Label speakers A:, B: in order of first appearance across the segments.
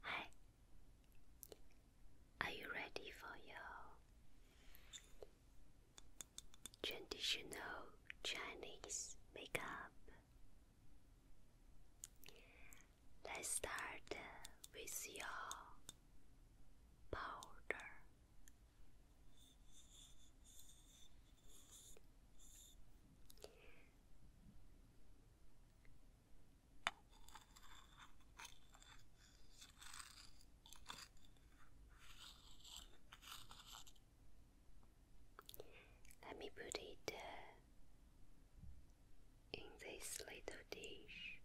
A: Hi, are you ready for your traditional Chinese makeup? Let's start with your powder. Let me put it uh, in this little dish.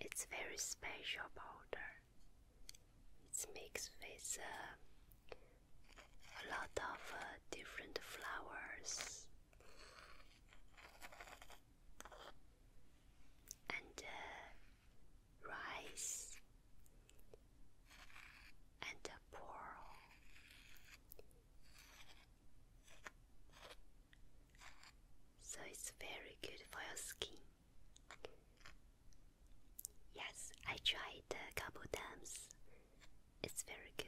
A: It's very special powder. It's mixed with uh, a lot of uh, different flowers. And uh, rice and pearl so it's very good for your skin. Yes, I tried a couple times. It's very good.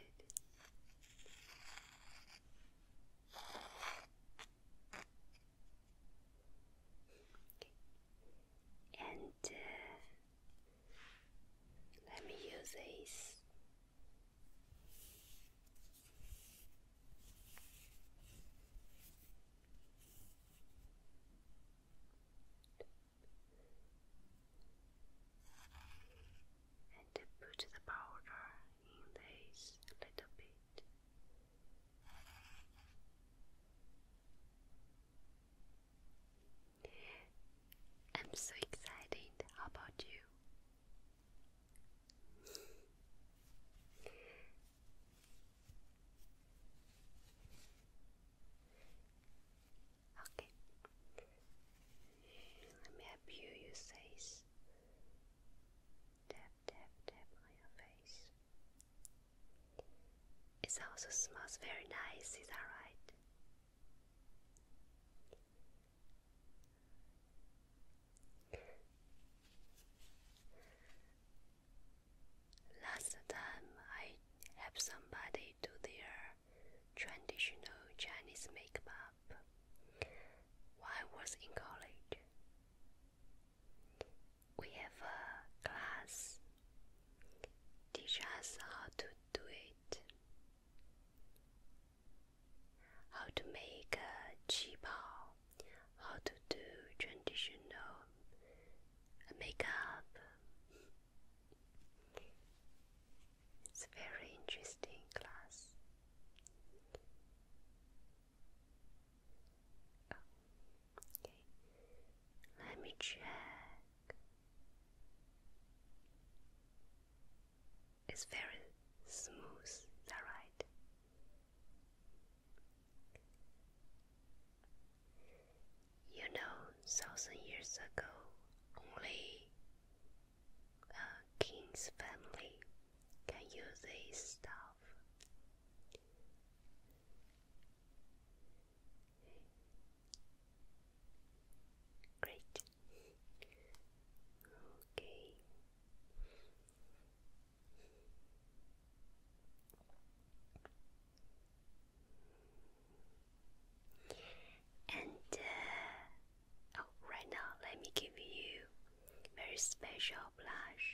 A: And uh, let me use this and put the powder in this little bit. I'm so excited. about you? Okay. Let me help you use this. Tap, tap, tap on your face. It also smells very nice, is that right? Last time I helped somebody do their traditional Chinese makeup while I was in college. We have a class teach us how to do it how to make a qi how to do traditional makeup. It's a very interesting class. Oh, let me check. It's very smooth, is right? You know, thousand years ago, only a uh, king's family can use this stuff. Great. Okay. And uh, oh, right now, let me give you very special blush.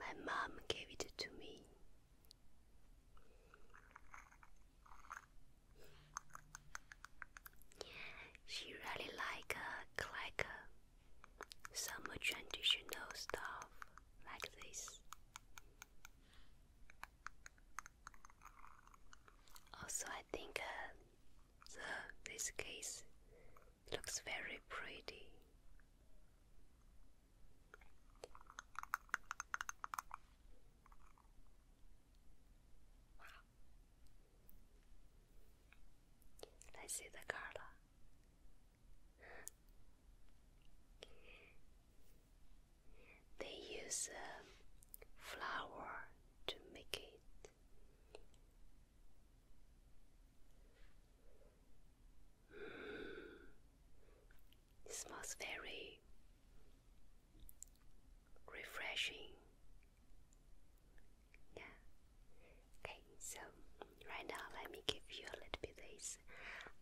A: My mom gave it to me. She really like a uh, like uh, some traditional stuff like this. Also, I think uh, the this case looks very pretty. Let's see the color. They use um, flour to make It smells very refreshing. Yeah. Okay, so right now let me give you a little bit this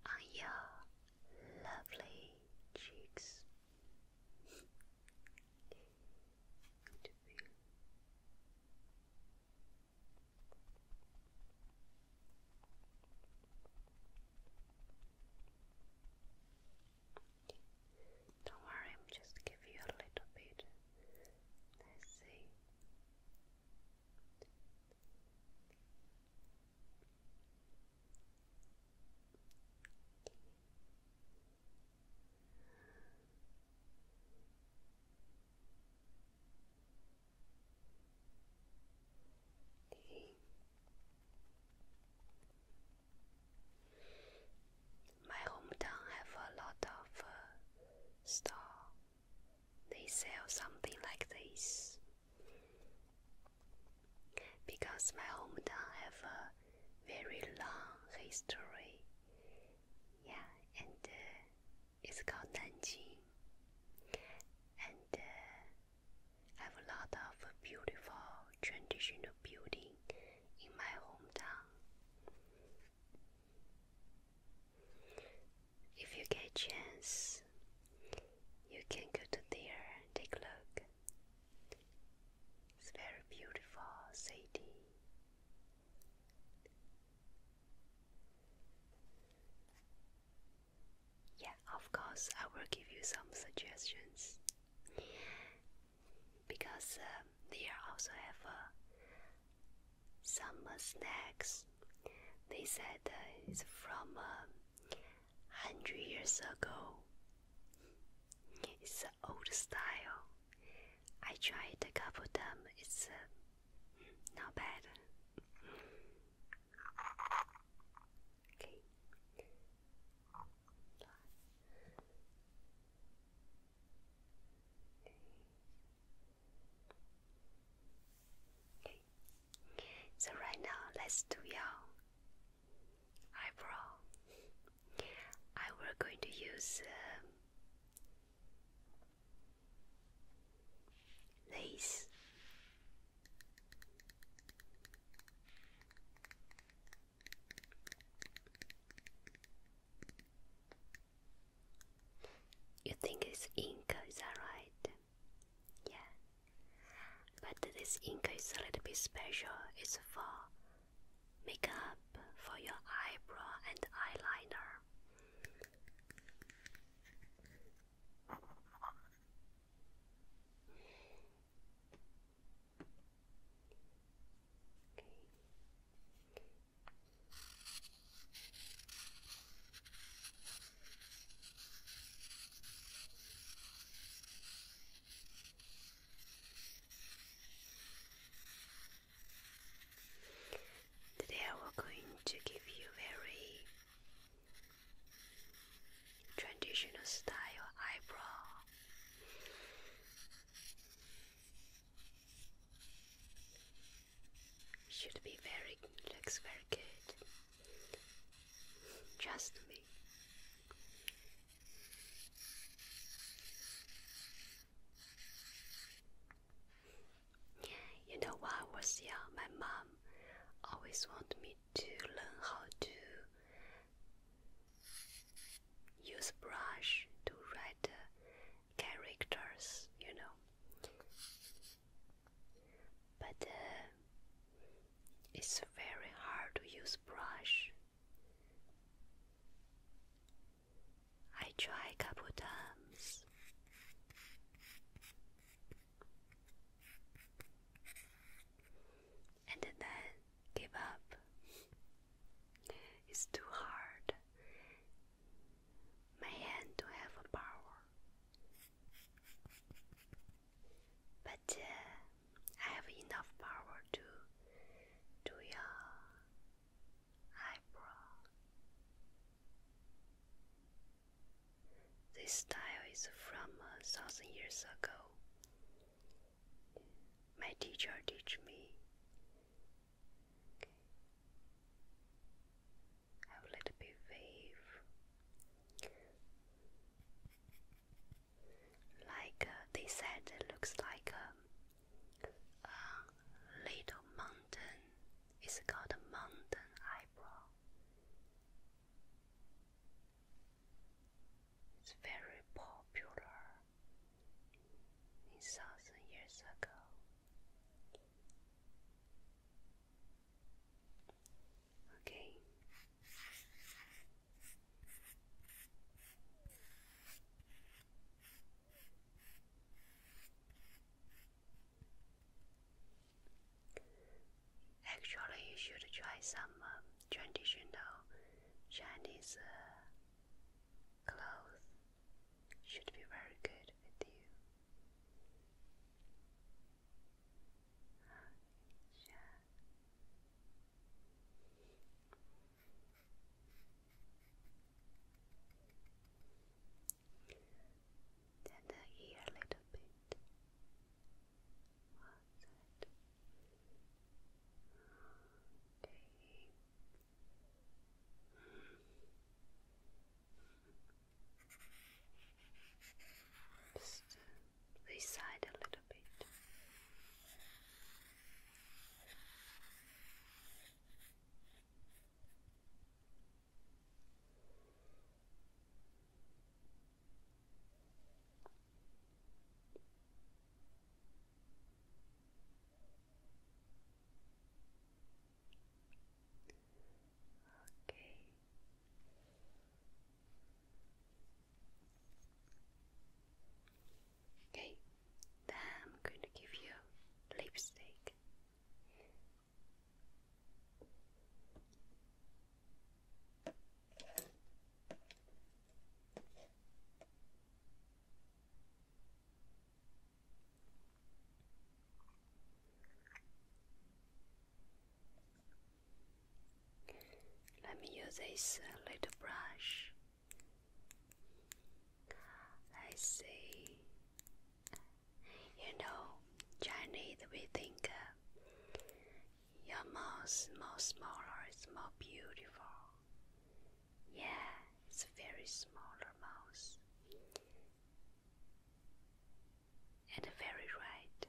A: on your lovely cheeks. Good don't worry, I'm just give you a little bit. Let's see. My hometown have a lot of uh, store. They sell something like this because my hometown have a very long history. Yeah, and uh, it's called Nanjing, and uh, have a lot of beautiful traditional building in my hometown. If you get chance, you can go to there take look. It's very beautiful city. Yeah, of course, I will give you some suggestions because um, they also have uh, some snacks. They said it's from uh, hundred years ago. It's uh, old style. I tried a couple of them. It's uh, not bad. Okay. So right now, let's do your eyebrow. I will going to use um, you think it's ink, is that right? Yeah. But this ink is a little bit special. It's for makeup, for your eyebrow and eyeliner. Today we're going to give you very Traditional style eyebrow. Should be very, looks very good. Just me. You know, when I was young, my mom always wanted me to learn how to use brush to write uh, characters, you know. But uh, it's very hard to use brush. I try couple times and then give up. it's too hard. My hand don't have a power. But uh, I have enough power to do your eyebrow. This style is from a thousand years ago. My teacher teach me. Okay. I will wave. Like uh, they said, looks like um, a, little mountain. It's called mountain eyebrow. It's very popular in thousand years ago. Okay. Actually, you should try some um, traditional Chinese uh, clothes. Should be very good with you. Then here uh, a little bit was it? Okay. Just this side a little bit. Okay. Okay, then I'm going to give you lipstick. Let me use this little brush. I see you know, Chinese we think uh, your mouth is more smaller, it's more beautiful. Yeah, it's a very smaller mouth. And very right.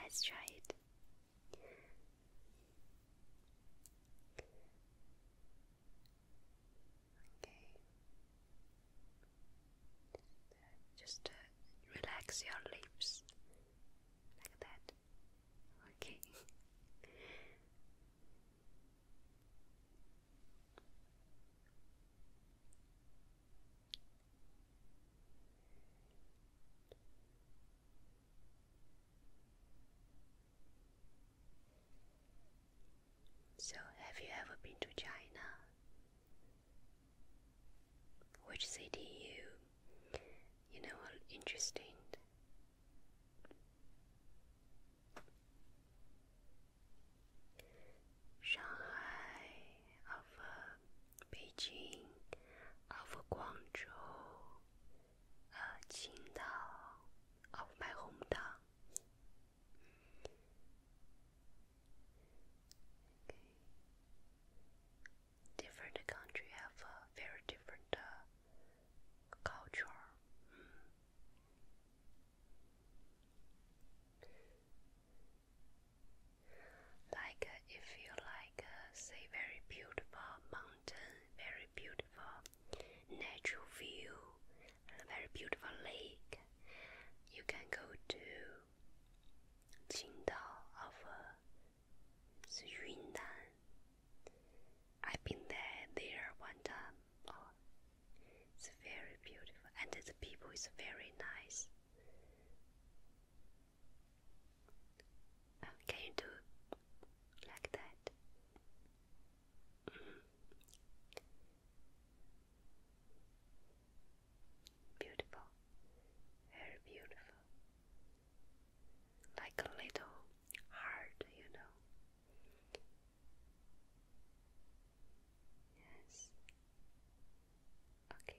A: Let's try it. Okay. Just uh, relax your lips like that. Okay. So, have you ever been to China? Which city you you know interesting? Shanghai, of uh, Beijing, of Guangzhou, uh, Qingdao of my hometown. Okay. Different country have a very different uh, culture. Mm. Like uh, if you like, uh, say very beautiful mountain, very beautiful natural view, a very beautiful lake. You can go to Qingdao of uh, Yunnan. I've been there there one time. Oh, it's very beautiful, and the people is very nice can you do like that? Mm-hmm. Beautiful, very beautiful. Like a little heart, you know. Yes. Okay.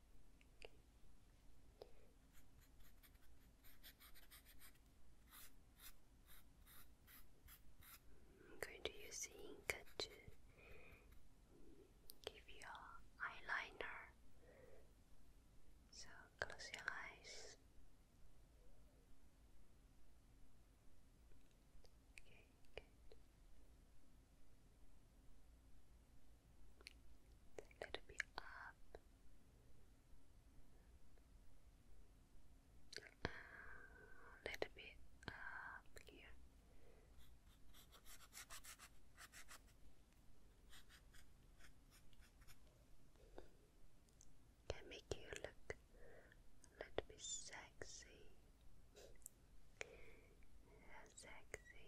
A: I'm going to use the ink to give you eyeliner. So close your eyes a little bit up a ah, little bit up here can make you look a little bit sexy sexy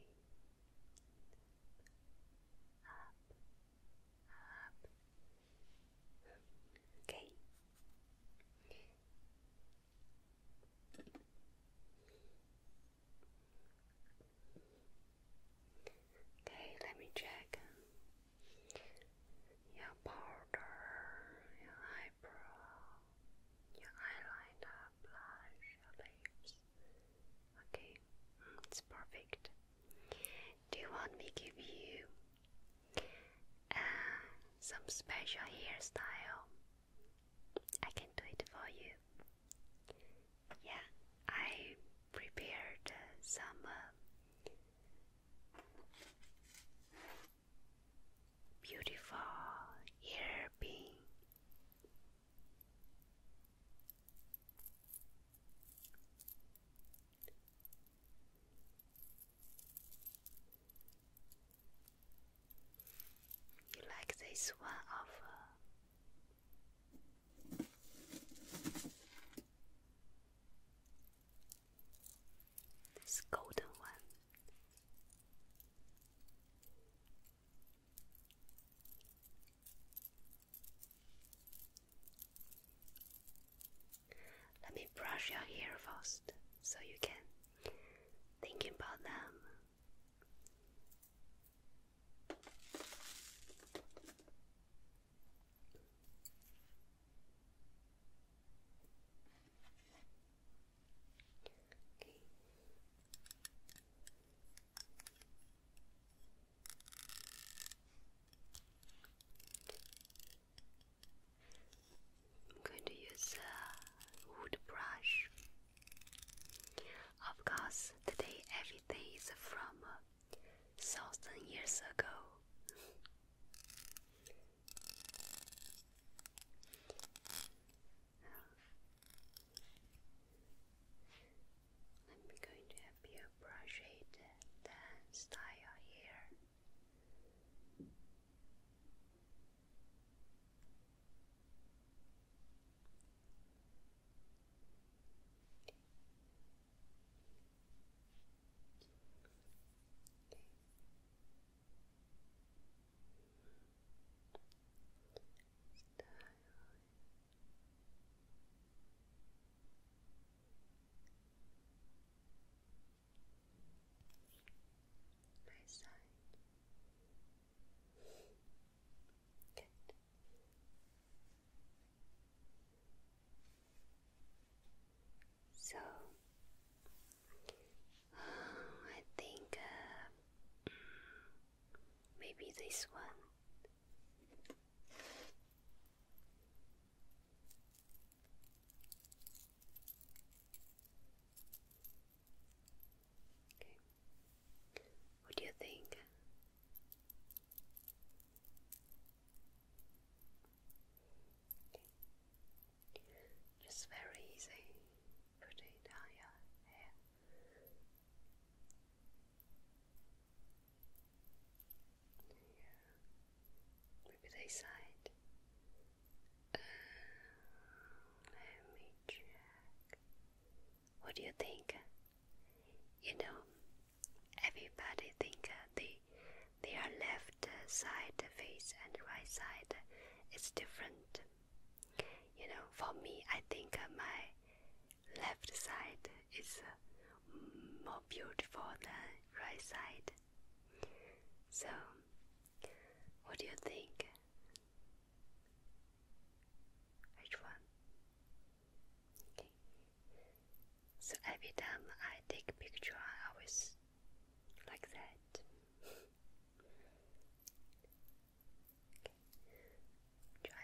A: up, up. Okay. Okay, let me check your powder, your eyebrow, your eyeliner, blush, your lips. Okay, it's perfect. Do you want me give you uh, some special hairstyle? I can do it for you. Yeah, I prepared some uh, beautiful hair pin you like this one of uh, this golden one. Let me brush your hair first so you can think about them. Okay. I'm going to use a wood brush. Of course, today everything is from uh, thousand years ago. I'm going to help you brush it then uh, style your hair. My side. Good. So I think uh, mm, Maybe this one. What do you think? Just very easy. Put it on your hair. Yeah. Maybe they side. Um, let me check. What do you think? You know, everybody think uh, they are left side face and right side is different. You know, for me, I think uh, my left side is uh, more beautiful than right side. So, what do you think? Which one? So every time I take picture, I always like that. Okay. Try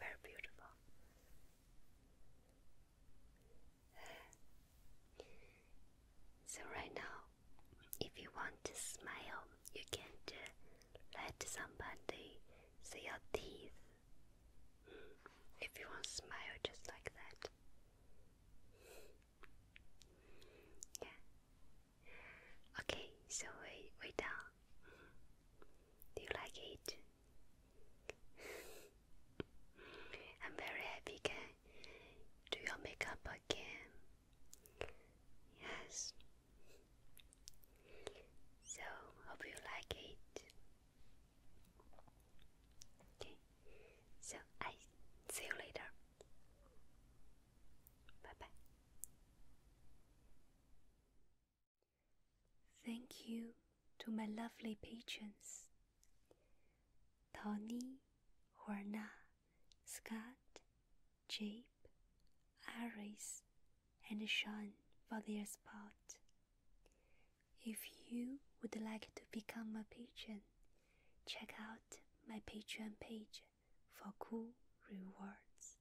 A: Very beautiful. So right now, if you want to smile, you can let somebody see your teeth. If you want to smile just like that. Yeah. Okay, so we we done. Do you like it? I'm very happy can do your makeup again. Yes. So, hope you like it. Okay. So, I see you later. Bye bye. Thank you to my lovely patrons. Tony, Werner, Scott, Jape, Iris, and Sean for their support. If you would like to become a patron, check out my Patreon page for cool rewards.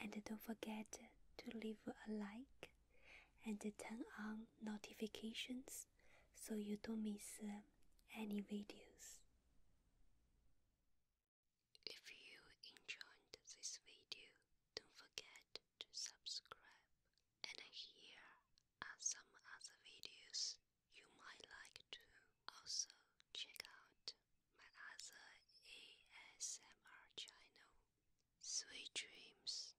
A: And don't forget to leave a like and turn on notifications so you don't miss uh, any videos. If you enjoyed this video, don't forget to subscribe. And here are some other videos you might like to also check out my other ASMR channel. Sweet dreams.